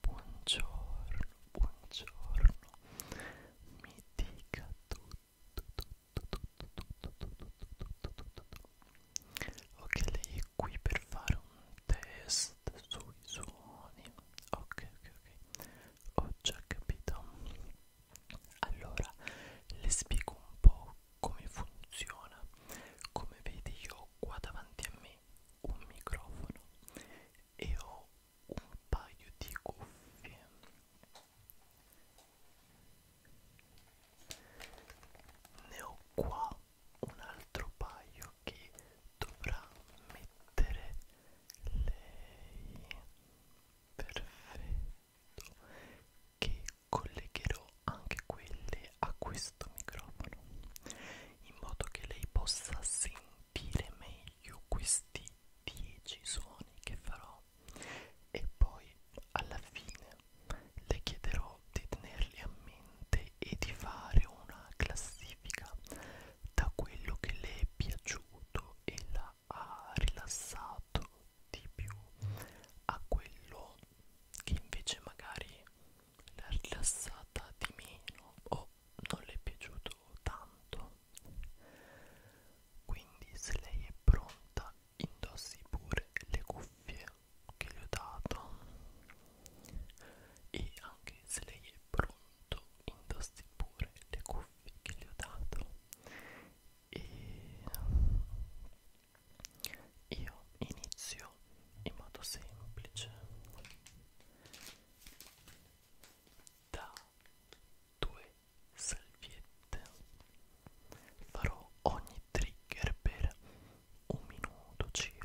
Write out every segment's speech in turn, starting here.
Buongiorno, buongiorno. Mi dica tutto, tutto, tutto, tutto, tutto, tutto, tutto, tutto. Ok, lei è qui per fare un test sui suoni. Ok, ok, ok. Ho già capito. Allora, le spiego un po' come funziona. Come vedi io ho qua davanti a me un microfono e ho un paio di cuffie ne ho qua un altro paio che dovrà mettere lei perfetto che collegherò anche quelle a questo microfono in modo che lei possa sentire riempire meglio questi 10 suoni che farò e poi alla fine le chiederò di tenerli a mente e di fare una classifica da quello che le è piaciuto e la ha rilassato di più a quello che invece magari l'ha rilassata di meno o non le è piaciuto tanto quindi se lei è pronta indossi pure le cuffie che le ho dato e anche se lei è pronto indossi pure le cuffie che le ho dato e io inizio in modo semplice da due salviette farò ogni trigger per un minuto circa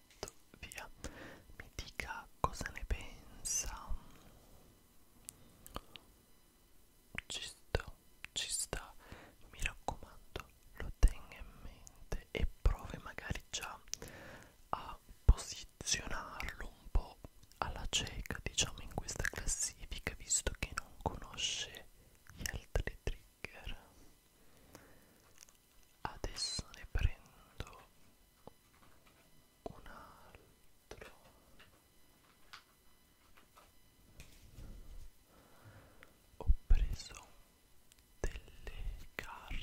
letto, via, mi dica cosa ne pensa. Ci sto, ci sta, mi raccomando, lo tenga in mente e prove magari già a posizionarlo un po' alla cieca, diciamo, in questa classifica, visto che non conosce gli altri trigger adesso ne prendo un altro ho preso delle carte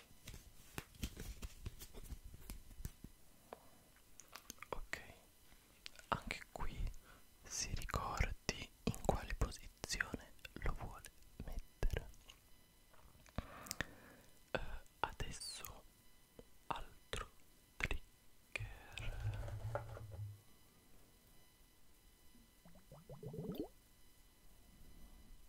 ok anche qui si ricordi in quale posizione lo vuole mettere eh, adesso altro trigger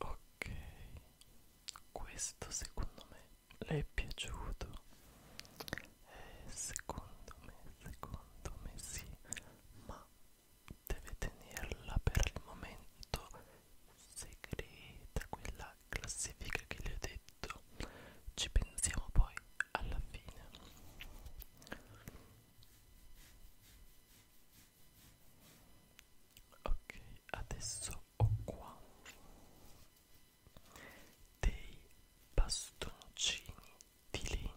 Ok, questo secondo me le è piaciuto. Eh, secondo me, secondo me sì, ma deve tenerla per il momento segreta, quella classifica che gli ho detto ci pensiamo poi alla fine ok adesso ho qua dei bastoncini di legno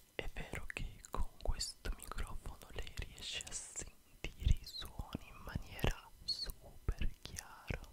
È vero che con questo microfono lei riesce a sentire i suoni in maniera super chiara. Ecco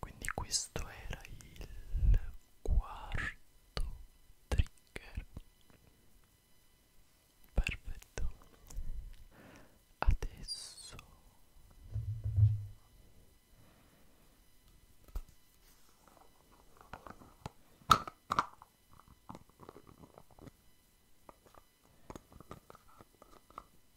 quindi questo era il quarto trigger perfetto adesso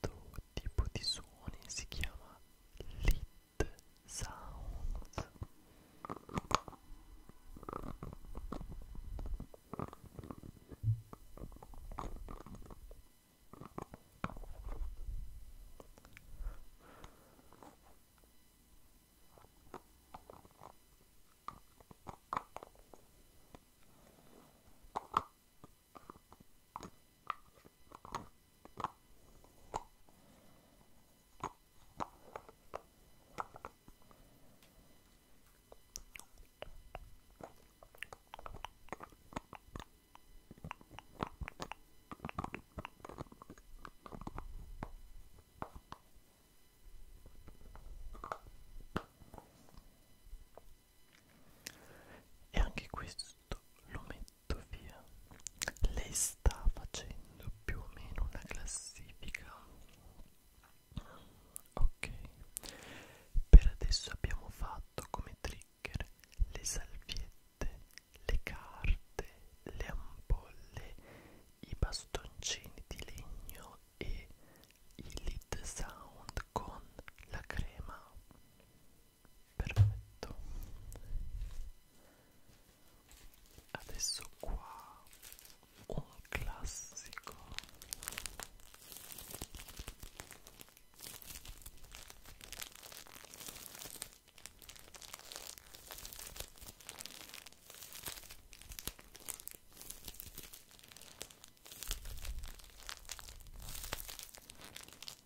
questo tipo di suoni si chiama lit sound e anche questo lo metto Tuttavia, lei sta facendo più o meno una classifica. Ok, per adesso abbiamo fatto come trigger le salviette, le carte, le ampolle, i bastoncini di legno e il lead sound con la crema perfetto adesso qua un classico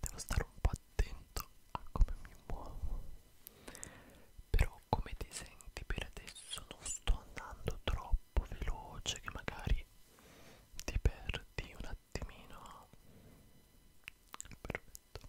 devo stare un po' attento a come mi muovo però come ti senti per adesso non sto andando troppo veloce che magari ti perdi un attimino perfetto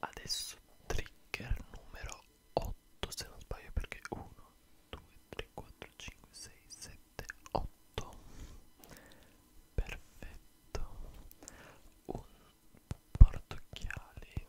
Adesso trigger numero 8 se non sbaglio perché 1, 2, 3, 4, 5, 6, 7, 8 Perfetto Un portocchiali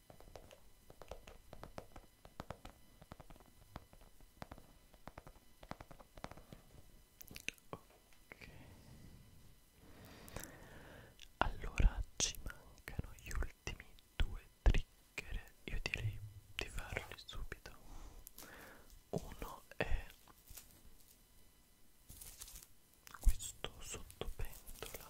Ok. Allora ci mancano gli ultimi due trigger. Io direi di farli subito. Uno è questo sotto sottopentola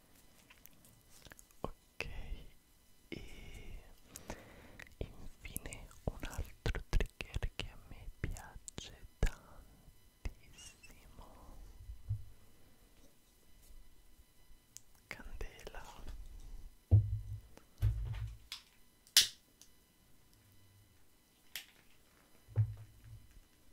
ok e infine un altro trigger che a me piace tantissimo candela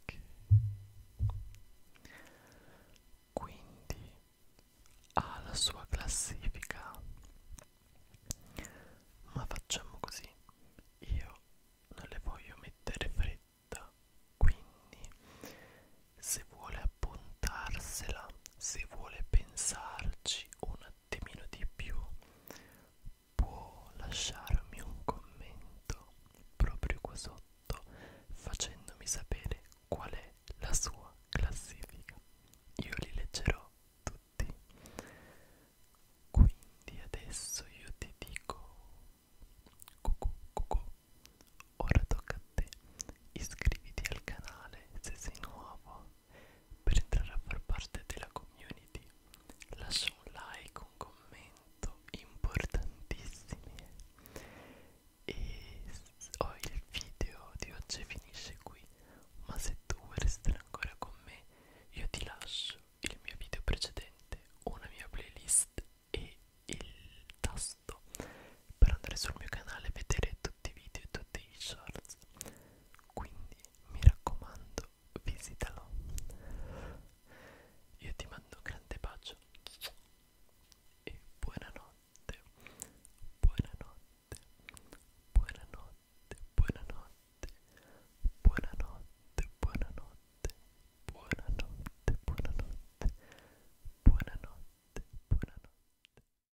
Ok. Quindi ha la sua classifica. Ma facciamo così. Io non le voglio mettere fretta, quindi se vuole appuntarsela, se vuole pensarci una attimino di più può lasciarmi un commento proprio qua sotto facendomi sapere qual è la sua classifica io li leggerò tutti quindi adesso io ti dico cucù cucù ora tocca a te iscriviti al canale se sei nuovo per entrare a far parte della community lascia un like, un commento importantissimi e oh, il video di oggi finisce qui ma se tu vuoi restare ancora con me io ti lascio il mio video precedente una mia playlist e il tasto per andare sul mio canale e vedere tutti i video e tutti i shorts quindi mi raccomando visitalo io ti mando un grande bacio e buonanotte buonanotte buonanotte buonanotte buonanotte buonanotte buonanotte buonanotte buonanotte buonanotte